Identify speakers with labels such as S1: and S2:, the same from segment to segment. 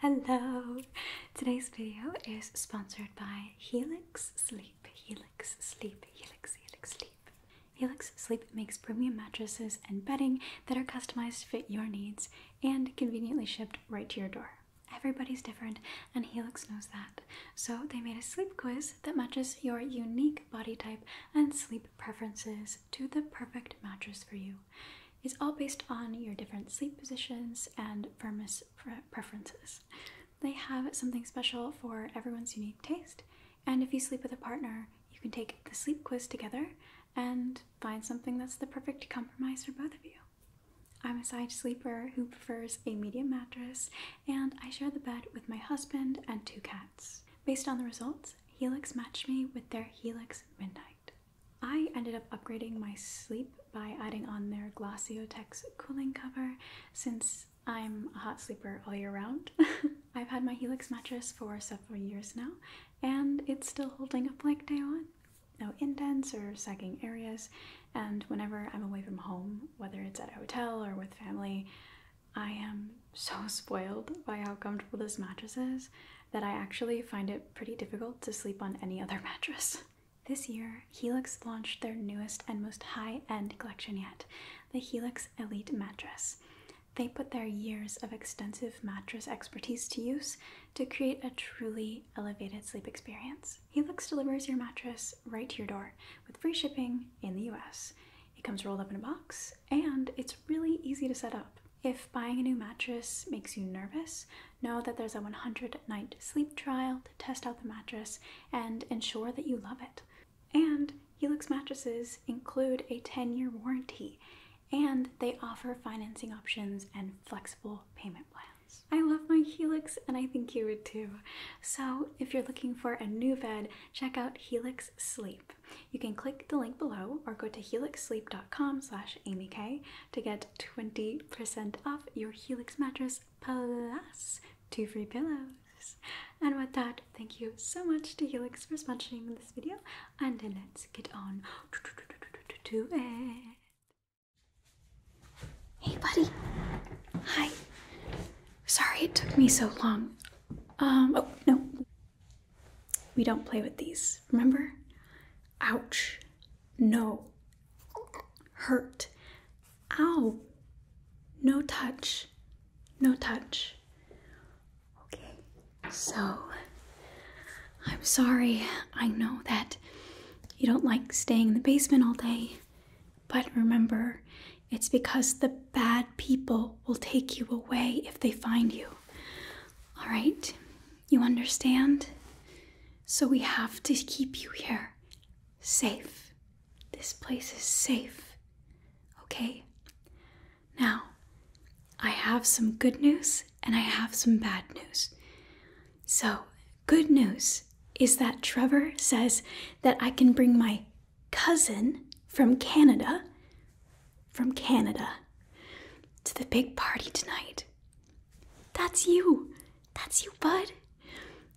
S1: Hello! Today's video is sponsored by Helix Sleep. Helix Sleep, Helix, Helix Sleep. Helix Sleep makes premium mattresses and bedding that are customized to fit your needs and conveniently shipped right to your door. Everybody's different, and Helix knows that. So, they made a sleep quiz that matches your unique body type and sleep preferences to the perfect mattress for you. It's all based on your different sleep positions and firmness preferences. They have something special for everyone's unique taste, and if you sleep with a partner, you can take the sleep quiz together and find something that's the perfect compromise for both of you. I'm a side sleeper who prefers a medium mattress, and I share the bed with my husband and two cats. Based on the results, Helix matched me with their Helix Midnight. I ended up upgrading my sleep by adding on their Glossiotex cooling cover since I'm a hot sleeper all year round. I've had my Helix mattress for several years now and it's still holding up like day one. No indents or sagging areas and whenever I'm away from home, whether it's at a hotel or with family, I am so spoiled by how comfortable this mattress is that I actually find it pretty difficult to sleep on any other mattress. This year, Helix launched their newest and most high end collection yet the Helix Elite Mattress. They put their years of extensive mattress expertise to use to create a truly elevated sleep experience. Helix delivers your mattress right to your door with free shipping in the US. It comes rolled up in a box and it's really easy to set up. If buying a new mattress makes you nervous, know that there's a 100 night sleep trial to test out the mattress and ensure that you love it. And Helix mattresses include a 10 year warranty and they offer financing options and flexible payment plans. I love my Helix and I think you would too. So, if you're looking for a new bed, check out Helix Sleep. You can click the link below or go to helixsleep.com/amyk to get 20% off your Helix mattress plus two free pillows. And with that, thank you so much to Helix for sponsoring this video, and let's get on to it. Hey, buddy. Hi. Sorry it took me so long. Um, oh, no. We don't play with these, remember? Ouch. No. Hurt. Ow. No touch. No touch. Okay. So, I'm sorry. I know that you don't like staying in the basement all day, but remember, it's because the bad people will take you away if they find you. All right? You understand? So we have to keep you here. Safe. This place is safe. Okay? Now, I have some good news and I have some bad news. So, good news is that Trevor says that I can bring my cousin from Canada, from Canada, to the big party tonight. That's you. That's you, bud.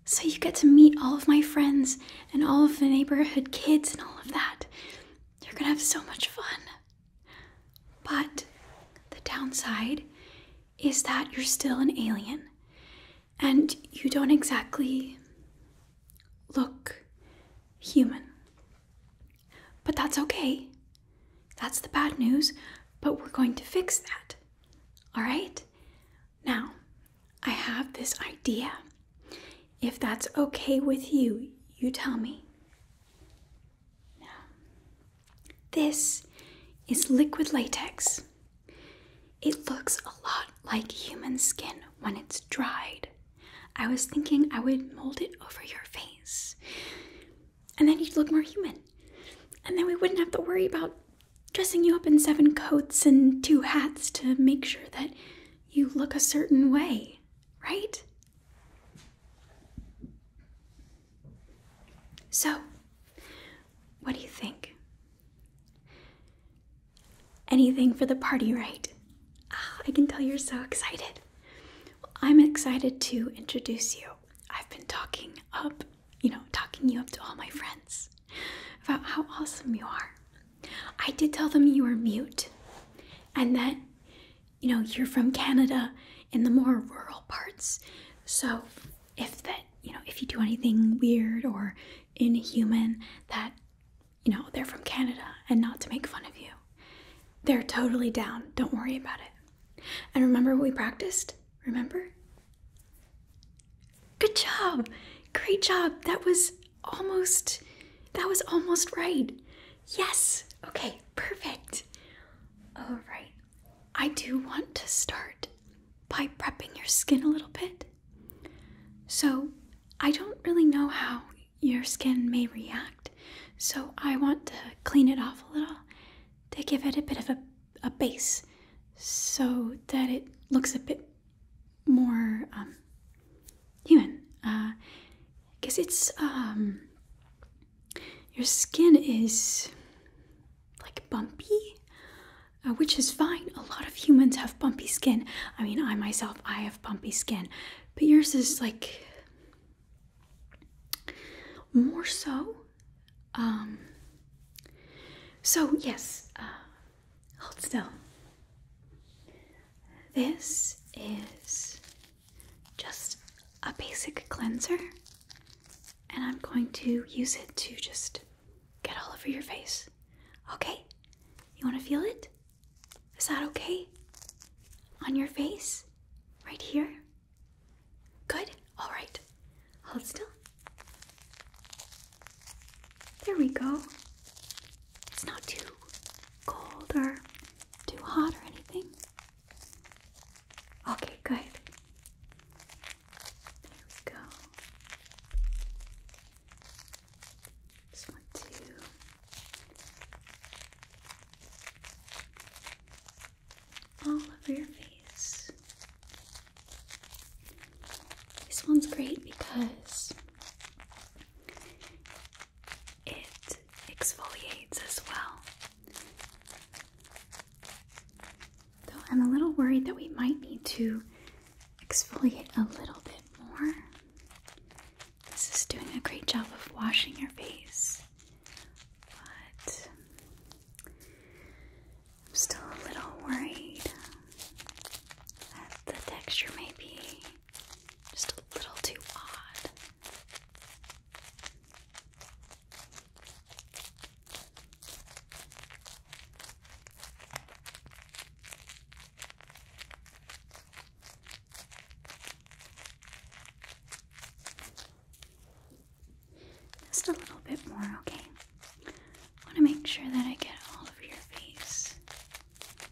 S1: So you get to meet all of my friends and all of the neighborhood kids and all of that. You're gonna have so much fun. But the downside is that you're still an alien and you don't exactly look human. But that's okay. That's the bad news, but we're going to fix that. All right? Now, I have this idea. If that's okay with you, you tell me. Now, this is liquid latex. It looks a lot like human skin when it's dried. I was thinking I would mold it over your face and then you'd look more human. And then we wouldn't have to worry about dressing you up in seven coats and two hats to make sure that you look a certain way, right? So, what do you think? Anything for the party, right? Ah, I can tell you're so excited. I'm excited to introduce you I've been talking up, you know, talking you up to all my friends about how awesome you are. I did tell them you were mute and that, you know, you're from Canada in the more rural parts. So if that, you know, if you do anything weird or inhuman, that, you know, they're from Canada and not to make fun of you. They're totally down. Don't worry about it. And remember what we practiced? Remember? Good job. Great job. That was almost that was almost right. Yes. Okay, perfect. All right. I do want to start by prepping your skin a little bit. So, I don't really know how your skin may react. So, I want to clean it off a little they give it a bit of a, a base so that it looks a bit more um, human. Because uh, it's, um, your skin is like bumpy. Uh, which is fine. A lot of humans have bumpy skin. I mean, I myself, I have bumpy skin, but yours is like more so, um, so yes, uh, hold still. This is just a basic cleanser, and I'm going to use it to just get all over your face. Okay? You want to feel it? Is that okay? On your face? Right here? Good. All right. Hold still. There we go. It's not too cold or too hot or anything. Okay, good. There we go. Just want to all over your face. This one's great because it exfoliates as well. Though I'm a little worried that we might need to exfoliate a little bit more. This is doing a great job of washing your face, but I'm still a little worried that the texture may be just a little too odd. Just a little bit more, okay? I want to make sure that I get all of your face. Okay.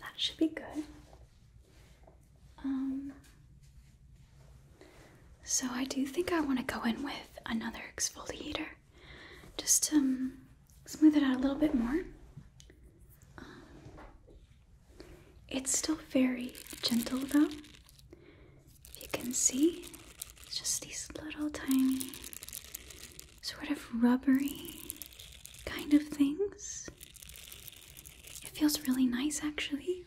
S1: That should be good. Um, so I do think I want to go in with another exfoliator just to um, smooth it out a little bit more. Um, it's still very gentle though. If you can see, it's just these little tiny, sort of rubbery kind of things. It feels really nice actually,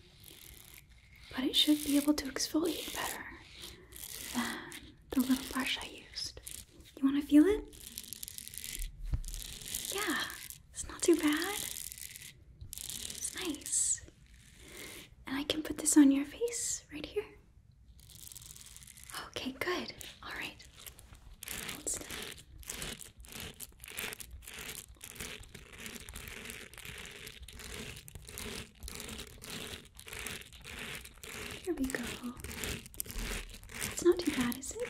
S1: but it should be able to exfoliate better than the little brush I used. You want to feel it? Yeah, it's not too bad. It's nice. And I can put this on your face right here. Okay, good. All right, Hold Here we go. It's not too bad, is it?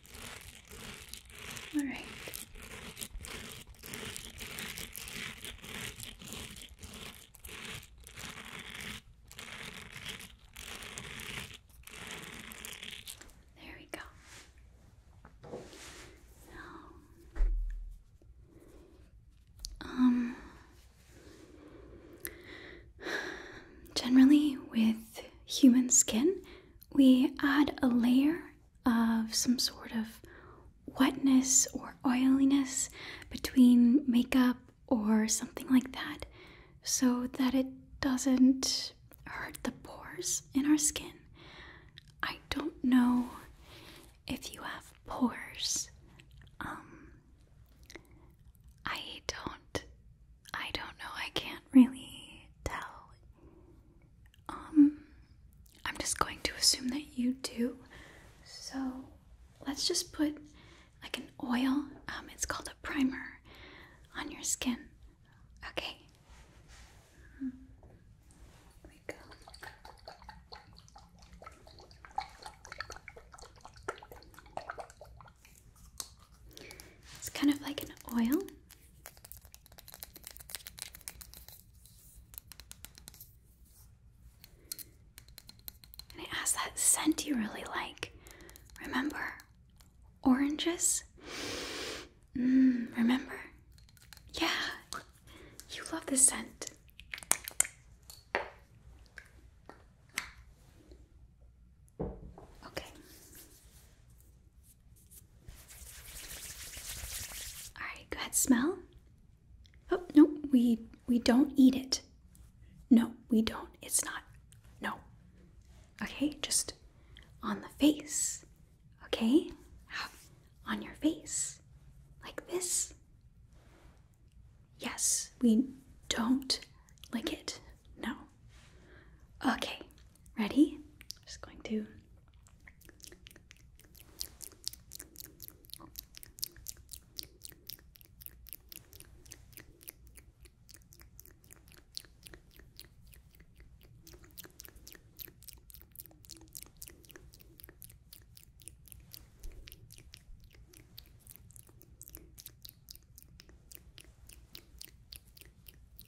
S1: All right. There we go. Now, um, generally with human skin, we add a layer of some sort of wetness or oiliness between makeup or something like that so that it doesn't hurt the pores in our skin. I don't know if you have pores. Um, I don't I don't know. I can't really tell um, I'm just going to assume that you do. So let's just put like an oil, um, it's called a primer, on your skin. Okay. Here we go. It's kind of like an oil. And it has that scent you really like. Remember? Oranges? Mmm, remember? Yeah, you love the scent. Okay. All right, go ahead, smell. Oh, no, we we don't eat it. No, we don't. It's not. No. Okay, just on the face. Okay? On your face. Like this. Yes, we don't lick it. No. Okay. Ready? just going to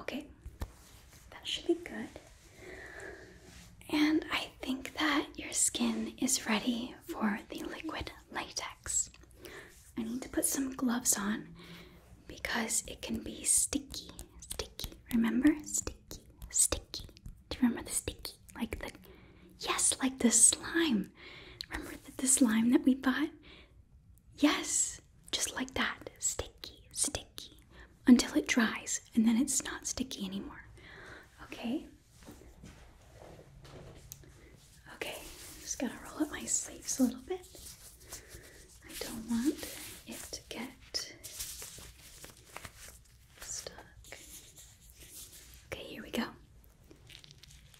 S1: Okay, that should be good. And I think that your skin is ready for the liquid latex. I need to put some gloves on because it can be sticky. Sticky. Remember? Sticky. Sticky. Do you remember the sticky? Like the. Yes, like the slime. Remember the, the slime that we bought? Yes, just like that. Sticky, sticky. Until it dries and then it's not sticky anymore. Okay? Okay, just gotta roll up my sleeves a little bit. I don't want it to get stuck. Okay, here we go.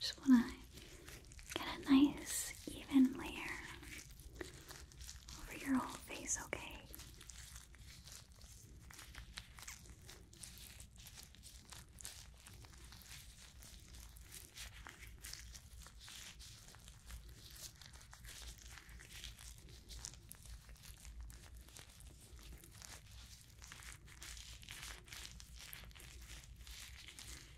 S1: Just want to get a nice even layer over your whole face, okay?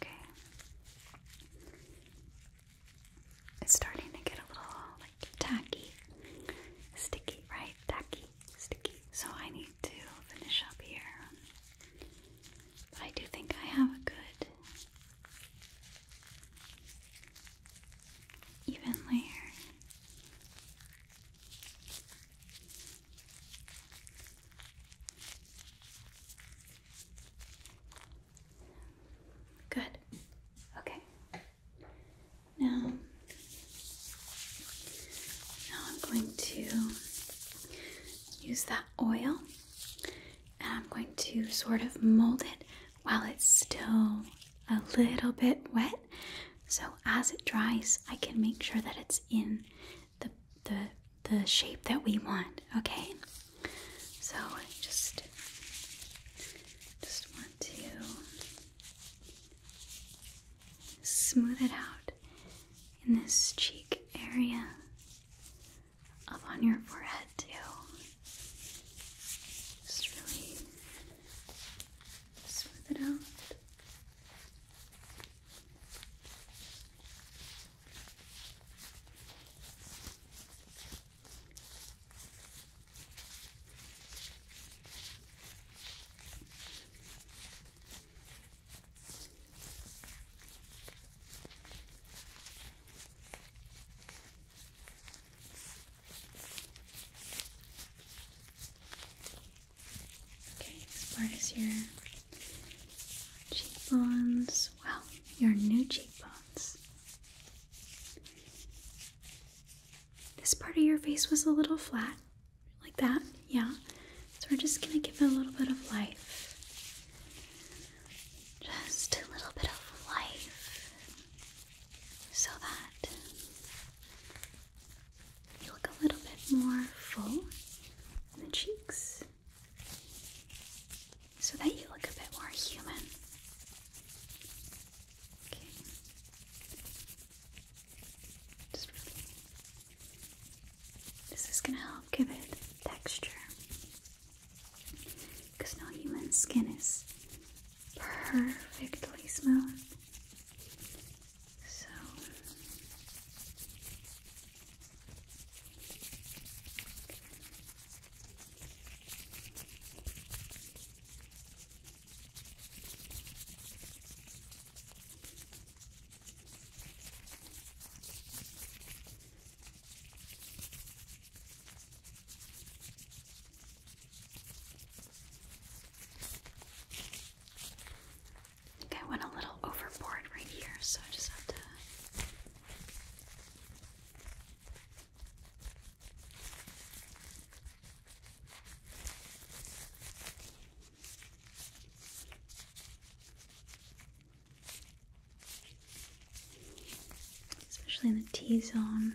S1: Okay. It's starting to get a little like tacky, sticky, right? Tacky. So I need to finish up here. I do think I have a good even layer. Good. Okay. Now, now I'm going to use that oil and I'm going to sort of mold it while it's still a little bit wet. So as it dries, I can make sure that it's in the, the, the shape that we want, okay? So just, just want to Smooth it out in this cheek area, up on your forehead, too. Just really smooth it out. Okay, as far as your cheekbones, well, your new cheekbones. This part of your face was a little flat, like that, yeah. So we're just gonna give it a little bit of life. Just a little bit of life so that you look a little bit more full in the cheeks so that you look a bit more human. Okay. This is gonna help give it texture. Because no human skin is perfectly smooth. So I think I went a little overboard right here, so I just have to especially in the T zone.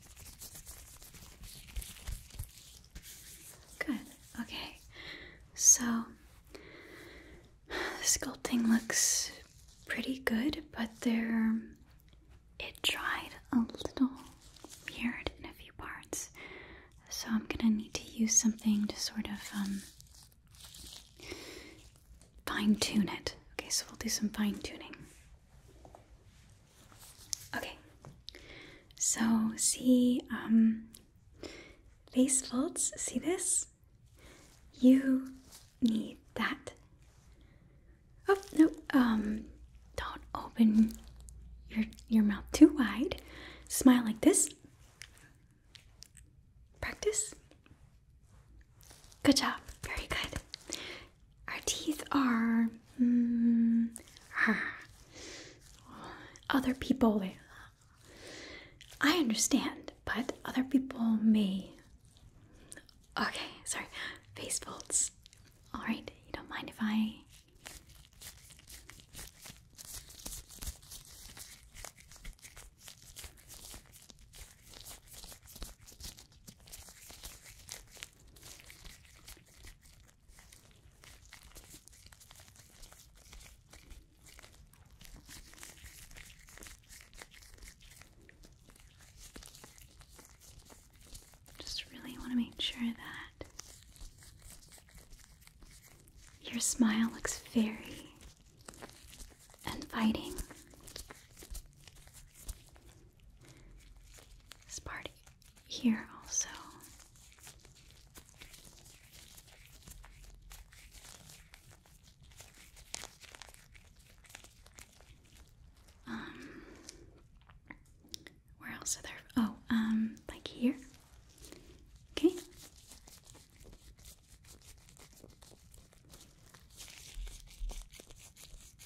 S1: Good. Okay. So the sculpting looks pretty good, but there it dried a little weird in a few parts. So I'm gonna need to use something to sort of um, fine tune it. Okay, so we'll do some fine tuning. Okay, so see um, face folds, see this? You need that. Oh no, um, don't open your your mouth too wide. Smile like this. Practice. Good job. Very good our teeth are mm, other people. I understand, but other people may. Okay, sorry. Face folds. All right, you don't mind if I. Just really want to make sure that your smile looks very inviting. This part here also. Um, where else are there? Oh, um, like here. Okay. Okay.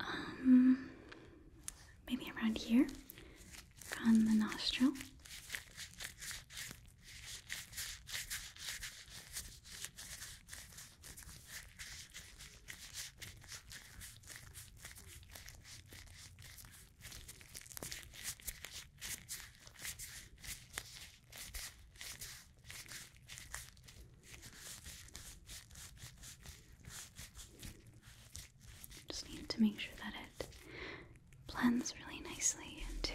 S1: Um, maybe around here on the nostril. Just need to make sure that it blends really nicely into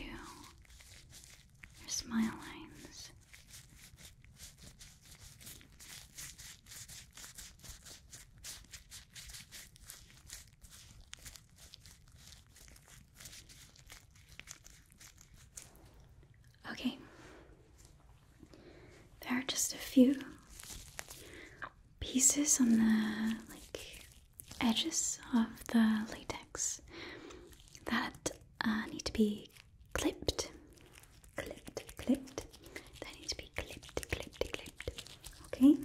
S1: your smile lines. Okay, there are just a few pieces on the like edges of the latex that uh, need to be clipped, clipped, clipped. They need to be clipped, clipped, clipped. Okay?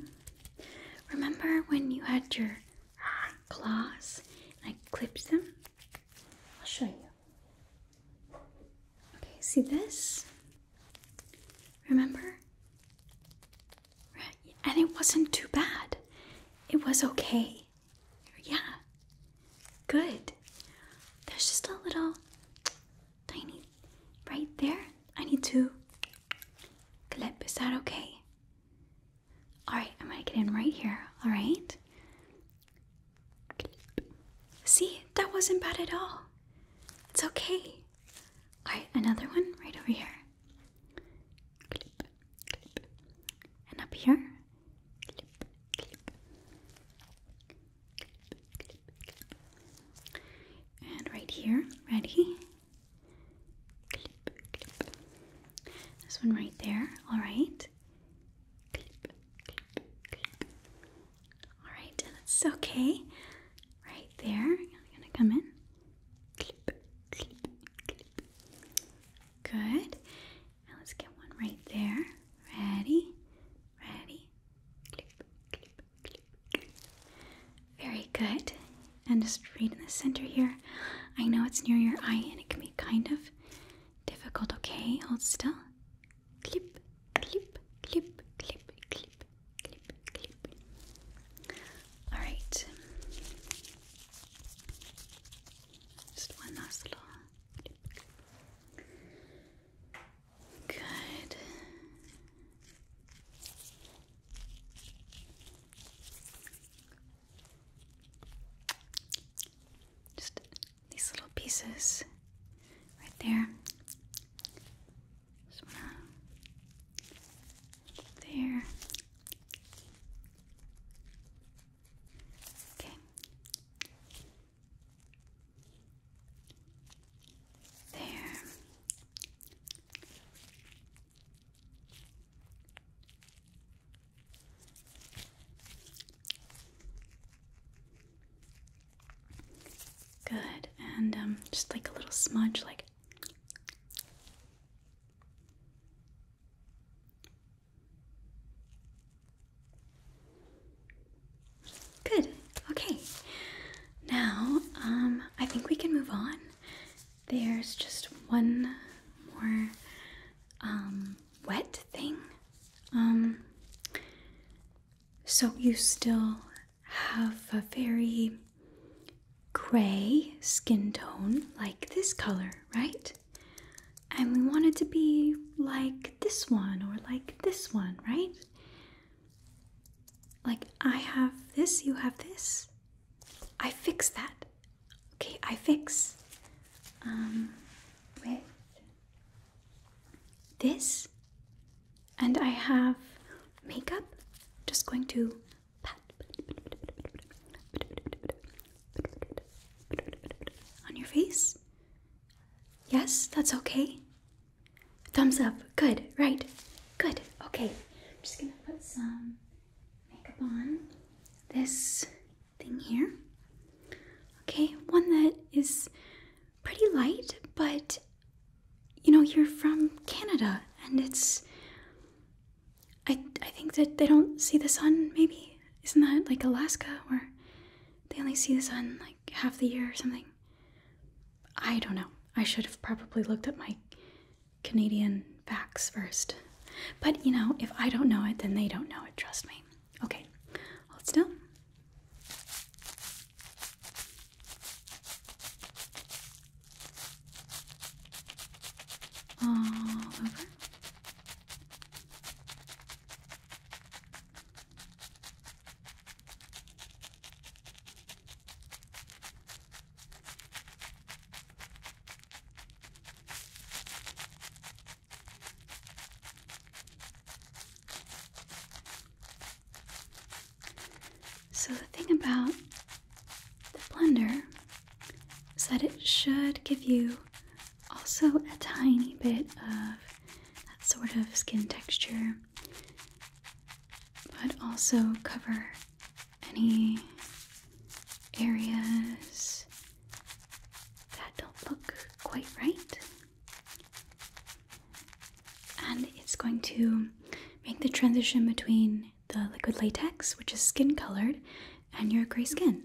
S1: Remember when you had your claws and I clipped them? I'll show you. Okay, see this? Remember? Right. And it wasn't too bad. It was okay. Yeah. Good. There's just a little tiny right there. I need to clip. Is that okay? Alright, I'm gonna get in right here. Alright? See, that wasn't bad at all. It's okay. Alright, another one right over here. Clip, clip. And up here. And right here, ready? This one right there, all right? Clip, All right, that's okay. Right there, I'm gonna come in. Good. Now let's get one right there. Ready? Ready? Clip, clip, clip, clip. Very good. And just right in the center here. I know it's near your eye and it can be kind of difficult, okay? Hold still. Clip, clip, clip, clip, clip, clip, clip. Alright. Just one last little Good. Just these little pieces right there. there. Okay. There. Good. And um, just like a little smudge, like. Good. Okay. Now, um, I think we can move on. There's just one more um, wet thing. Um, so you still have a very gray skin tone like this color, right? And we want it to be like this one or like this one, right? Like I have this, you have this. I fix that. Okay, I fix um, with this. And I have makeup. Just going to pat on your face. Yes, that's okay. Thumbs up. Good, right. Good. Okay. I'm just going to put some makeup on this thing here. Okay, one that is pretty light, but you know, you're from Canada and it's I I think that they don't see the sun maybe. Isn't that like Alaska or they only see the sun like half the year or something. I don't know. I should have probably looked up my Canadian facts first. But you know, if I don't know it, then they don't know it, trust me. Okay, hold still. All over. So, the thing about the blender is that it should give you also a tiny bit of that sort of skin texture, but also cover any areas that don't look quite right. And it's going to make the transition between the liquid latex, which is skin colored, and your gray skin.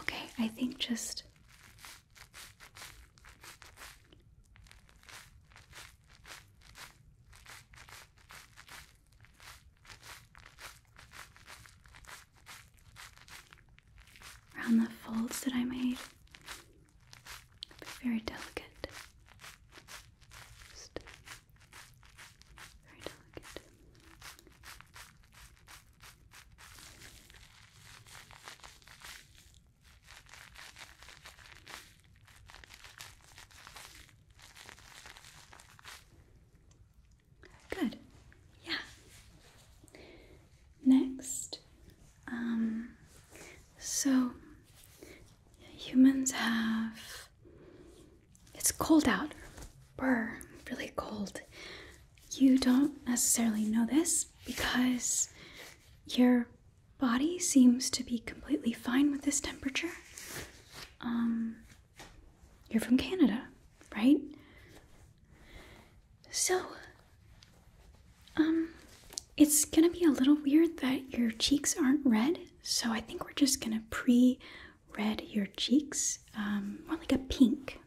S1: Okay, I think just around the folds that I made. Be very delicate. Just very delicate. Good. Yeah. Next, um, so humans have. It's cold out. Brr, really cold. You don't necessarily know this because your body seems to be completely fine with this temperature. Um, you're from Canada, right? So, um, it's gonna be a little weird that your cheeks aren't red, so I think we're just gonna pre red your cheeks, um, more like a pink.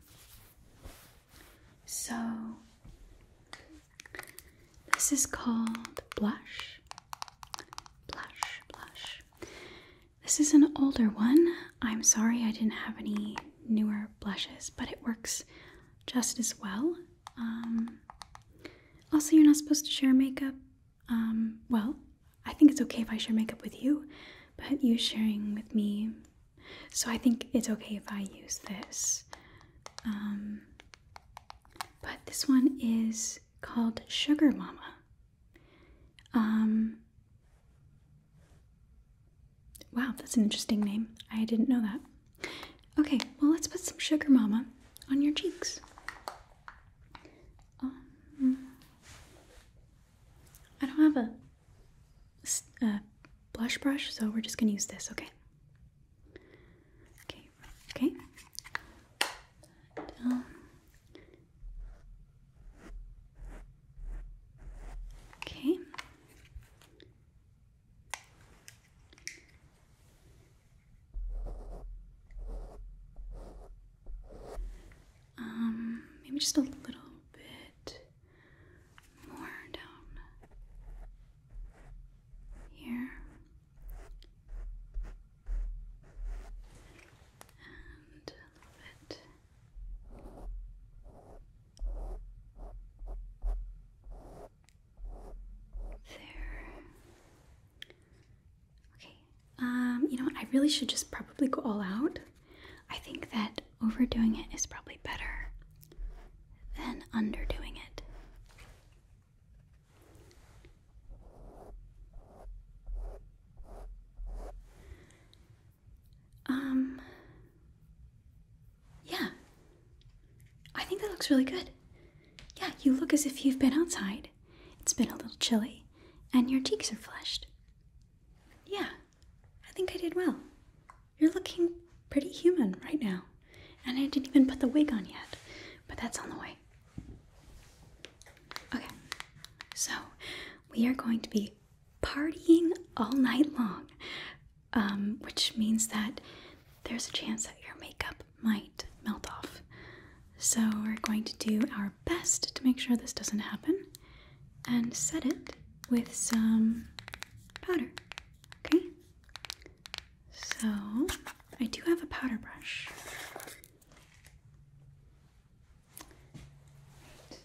S1: So, this is called blush. Blush, blush. This is an older one. I'm sorry I didn't have any newer blushes, but it works just as well. Um, also, you're not supposed to share makeup. Um, well, I think it's okay if I share makeup with you, but you sharing with me, so I think it's okay if I use this. Um, but this one is called Sugar Mama. Wow, that's an interesting name. I didn't know that. Okay, well, let's put some sugar mama on your cheeks. Um, I don't have a, a blush brush, so we're just gonna use this, okay? Okay, okay. Um, Okay. Um, maybe just a little bit more down here. And a little bit Okay. Um, you know what? I really should just probably go all out. I think that overdoing it is probably better than underdoing it. Um. Yeah. I think that looks really good. Yeah, you look as if you've been outside. It's been a little chilly, and your cheeks are flushed. Yeah, I think I did well. You're looking pretty human right now. And I didn't even put the wig on yet, but that's on the way. Okay, so we are going to be partying all night long, um, which means that there's a chance that your makeup might melt off. So, we're going to do our best to make sure this doesn't happen and set it with some powder. Okay? So, I do have a powder brush.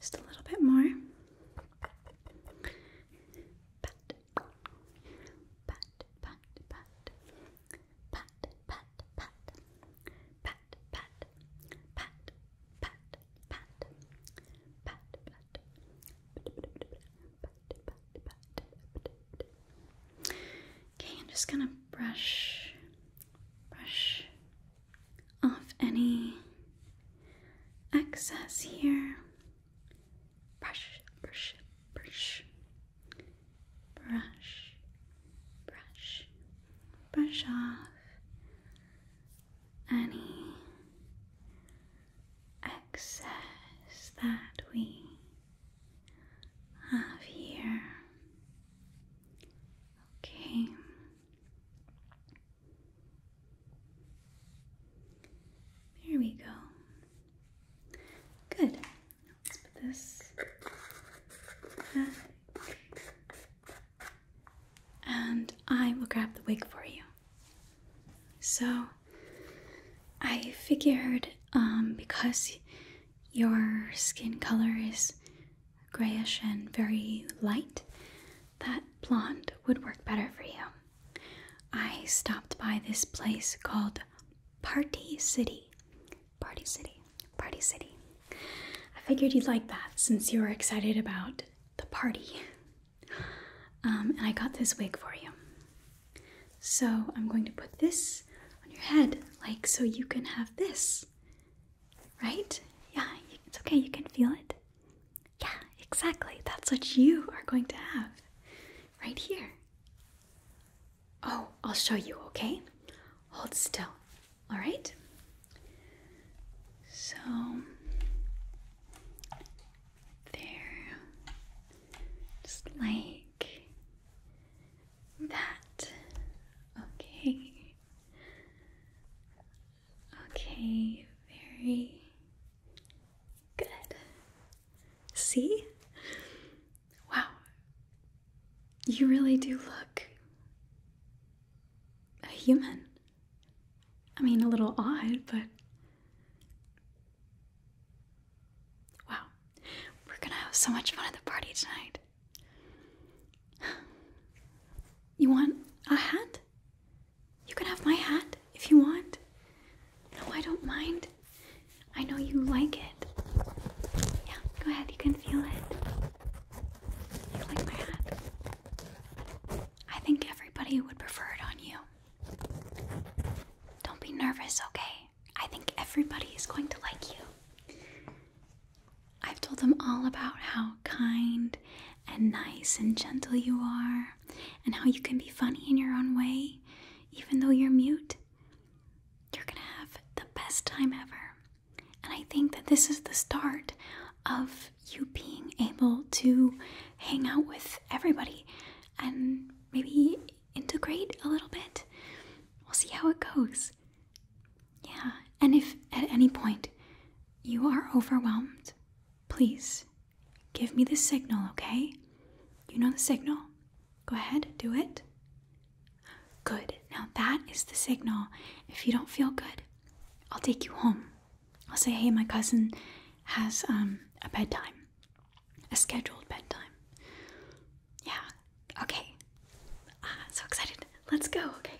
S1: Just a little bit more. Okay, I'm just gonna brush, brush, off any excess here. Brush, brush, brush, brush, brush, brush off any excess that we have here. Okay. There we go. Good. this And I will grab the wig for you. So I figured um, because your skin color is grayish and very light, that blonde would work better for you. I stopped by this place called Party City. Party City. Party City. I figured you'd like that since you were excited about the party. Um, and I got this wig for you. So I'm going to put this on your head, like so you can have this. Right? Yeah, it's okay, you can feel it. Yeah, exactly. That's what you are going to have right here. Oh, I'll show you, okay? Hold still, all right? So, there, just like that. Okay. Okay, very good. See? Wow. You really do look a human. I mean, a little odd, but. Wow. We're gonna have so much fun at the party tonight. You want a hat? You can have my hat if you want. No, I don't mind. I know you like it. Yeah, go ahead, you can feel it. You like my hat. I think everybody would prefer it on you. Don't be nervous, okay? I think everybody is going to like you. I've told them all about how kind and nice and gentle you are, and how you can be funny in your own way, even though you're mute. You're gonna have the best time ever. And I think that this is the start of you being able to hang out with everybody and maybe integrate a little bit. We'll see how it goes. Yeah, and if at any point you are overwhelmed. Please give me the signal, okay? You know the signal. Go ahead, do it. Good. Now that is the signal. If you don't feel good, I'll take you home. I'll say, hey, my cousin has um, a bedtime, a scheduled bedtime. Yeah, okay. Uh, so excited. Let's go, okay?